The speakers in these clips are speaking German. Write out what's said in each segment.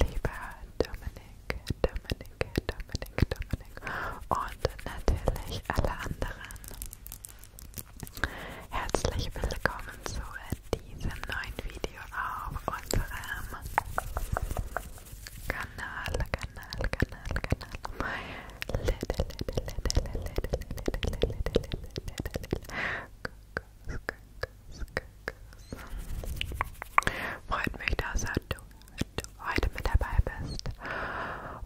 lieber Dominik, Dominik, Dominik, Dominik und natürlich alle anderen. Herzlich willkommen zu diesem neuen Video auf unserem Kanal, Kanal, Kanal, Kanal. Freut mich, dass du heute mit dabei bist.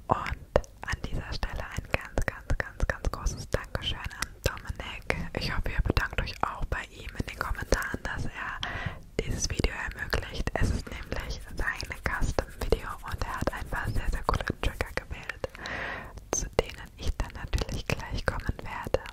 Und an dieser Stelle ein ganz, ganz, ganz, ganz großes Dankeschön an Dominik. Ich hoffe, ihr bedankt euch auch bei ihm in den Kommentaren, dass er dieses Video ermöglicht. Es ist nämlich sein Custom-Video und er hat ein paar sehr, sehr coole Trigger gewählt, zu denen ich dann natürlich gleich kommen werde.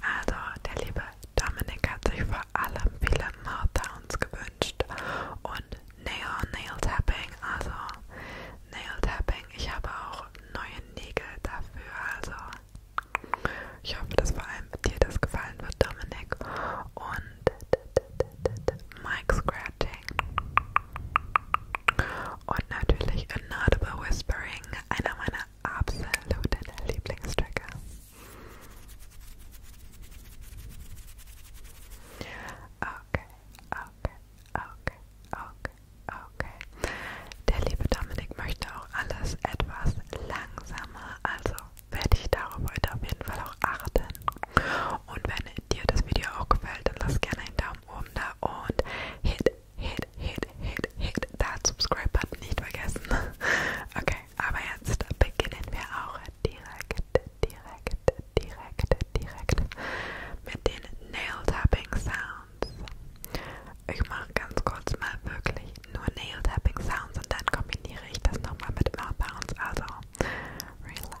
Also, der liebe Dominik hat sich vor allem viele Meltdowns gewünscht und Nail, Nail Tapping, also Nail Tapping. Ich habe auch neue Nägel dafür, also ich hoffe, dass vor allem dir das gefallen wird, Dominik. Und Mic Scratching und natürlich Inaudible Whispering, einer meiner absoluten Lieblingstrigger. Okay, okay, okay, okay, okay. Der liebe Dominik möchte auch alles etwas langsamer, also werde ich darauf heute auf jeden Fall auch achten. Und wenn dir das Video auch gefällt, dann lass gerne einen Daumen oben da und hit, hit, hit, hit, hit da Subscribe-Button nicht vergessen. Okay, aber jetzt beginnen wir auch direkt, direkt, direkt, direkt mit den Nail-Tapping-Sounds. Ich mache ganz kurz mal wirklich nur Nail-Tapping-Sounds und dann kombiniere ich das nochmal mit Mouth Bounce. Also, relax.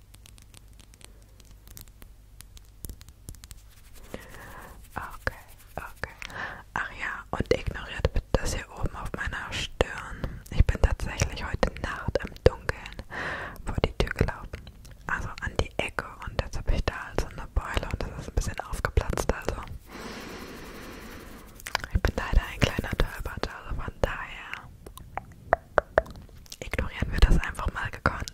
Okay, okay. Ach ja, und ignoriert bitte das hier oben auf meiner Stirn. Ich bin tatsächlich heute Nacht im Dunkeln vor die Tür gelaufen. Also an die Ecke und jetzt habe ich da also eine Beule und das ist ein bisschen aufgeplatzt. Also ich bin leider ein kleiner Tölpert, also von daher ignorieren wir das einfach mal gekonnt.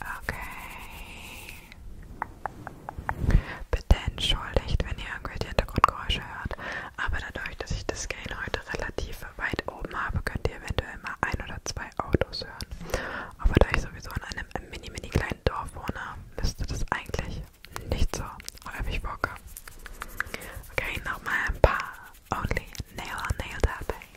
Okay. Bitte entschuldigt, wenn ihr irgendwelche Hintergrundgeräusche hört, aber dadurch, dass ich das Gain heute relativ Scheibe weit oben habe, könnt ihr eventuell mal ein oder zwei Autos hören. Aber da ich sowieso in einem mini, mini kleinen Dorf wohne, müsste das eigentlich nicht so häufig vorkommen. Okay, nochmal ein paar Only Nail on Nail dabei. Okay,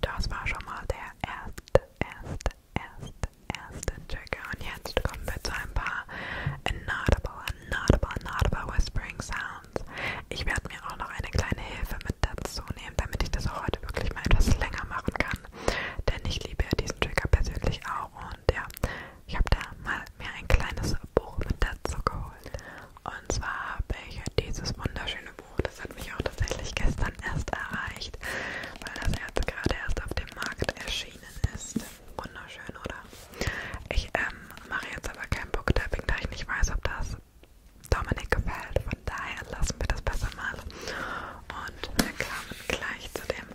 Das war schon mal der erste, erste, erste, erste Trigger. Und jetzt kommen wir zu ein paar inaudible, inaudible, inaudible whispering sounds. Ich werde mir auch noch eine kleine Hilfe mit dazu nehmen, damit ich das auch heute wirklich mal etwas länger machen kann. Denn ich liebe ja diesen Trigger persönlich auch. Und ja, ich habe da mal mir ein kleines Buch mit dazu geholt. Und zwar habe ich halt dieses wunderschöne Buch, das hat mich auch tatsächlich gestern erst erreicht, weil das jetzt gerade erst auf dem Markt erschienen ist. Wunderschön, oder? Ich ähm, mache jetzt aber kein Booktapping, da ich nicht weiß, ob das Dominik gefällt. Von daher lassen wir das besser mal. Und wir kamen gleich zu dem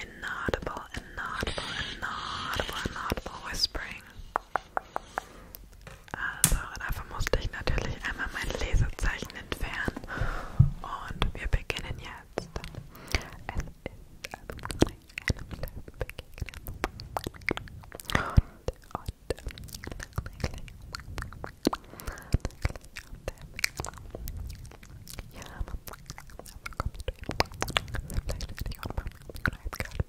Inaudible, Inaudible, Inaudible, Inaudible Whispering. Also, dafür musste ich natürlich einmal mein Lesezeichen entfernen. Und wir beginnen jetzt. Es ist einem Löwen begegnet. Und, und, ja, kommst du vielleicht richtig und beim Kreis gerade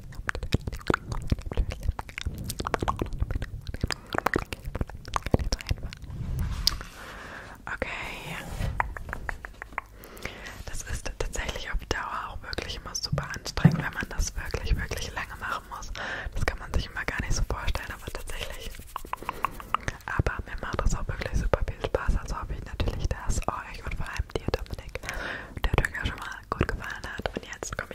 Okay. Das ist tatsächlich auf Dauer auch wirklich immer super anstrengend, wenn man das wirklich, wirklich lange machen muss. Das kann man sich immer gar nicht so vorstellen, aber tatsächlich. Aber mir macht das auch wirklich super viel Spaß. Also hoffe ich natürlich, dass euch und vor allem dir, Dominik, der Türker schon mal gut gefallen hat. Und jetzt komme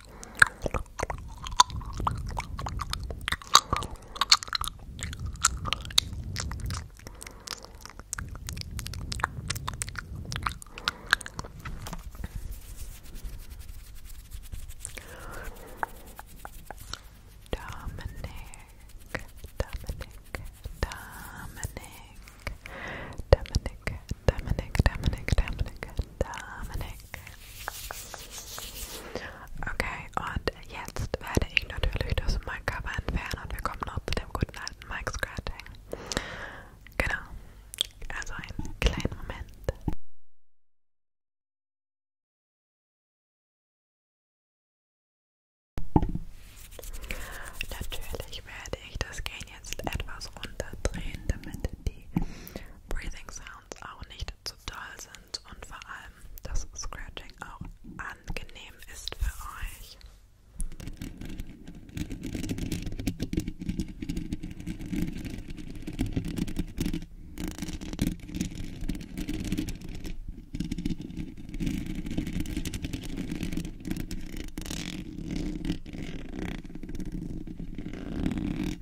Dominic, Dominic, Dominic, Dominic, Dominic, Dominic, Dominic, Dominic, Okay, und jetzt werde ich natürlich das Mic-Cover entfernen und wir kommen noch zu dem guten alten Mic-Scratching. Genau, also einen kleinen Moment. Natürlich werde ich das Gain jetzt etwas runterdrehen, damit die Breathing Sounds Sounds auch nicht zu doll sind und vor allem das Scratching auch angenehm ist für euch.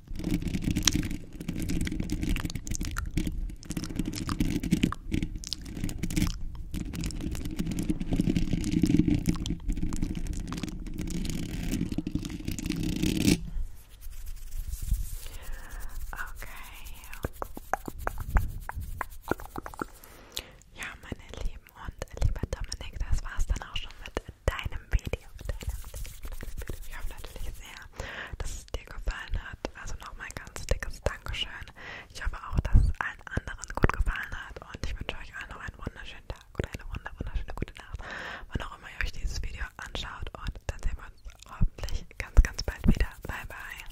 Ja, meine Lieben und lieber Dominik, das war's dann auch schon mit deinem Video. Video geteilt habt. Ich hoffe natürlich sehr, dass es dir gefallen hat. Also nochmal ganz dickes Dankeschön. Ich hoffe auch, dass es allen anderen gut gefallen hat. Und ich wünsche euch allen noch einen wunderschönen Tag oder eine wunder, wunderschöne gute Nacht. Wann auch immer ihr euch dieses Video anschaut. Und dann sehen wir uns hoffentlich ganz, ganz bald wieder. Bye, bye.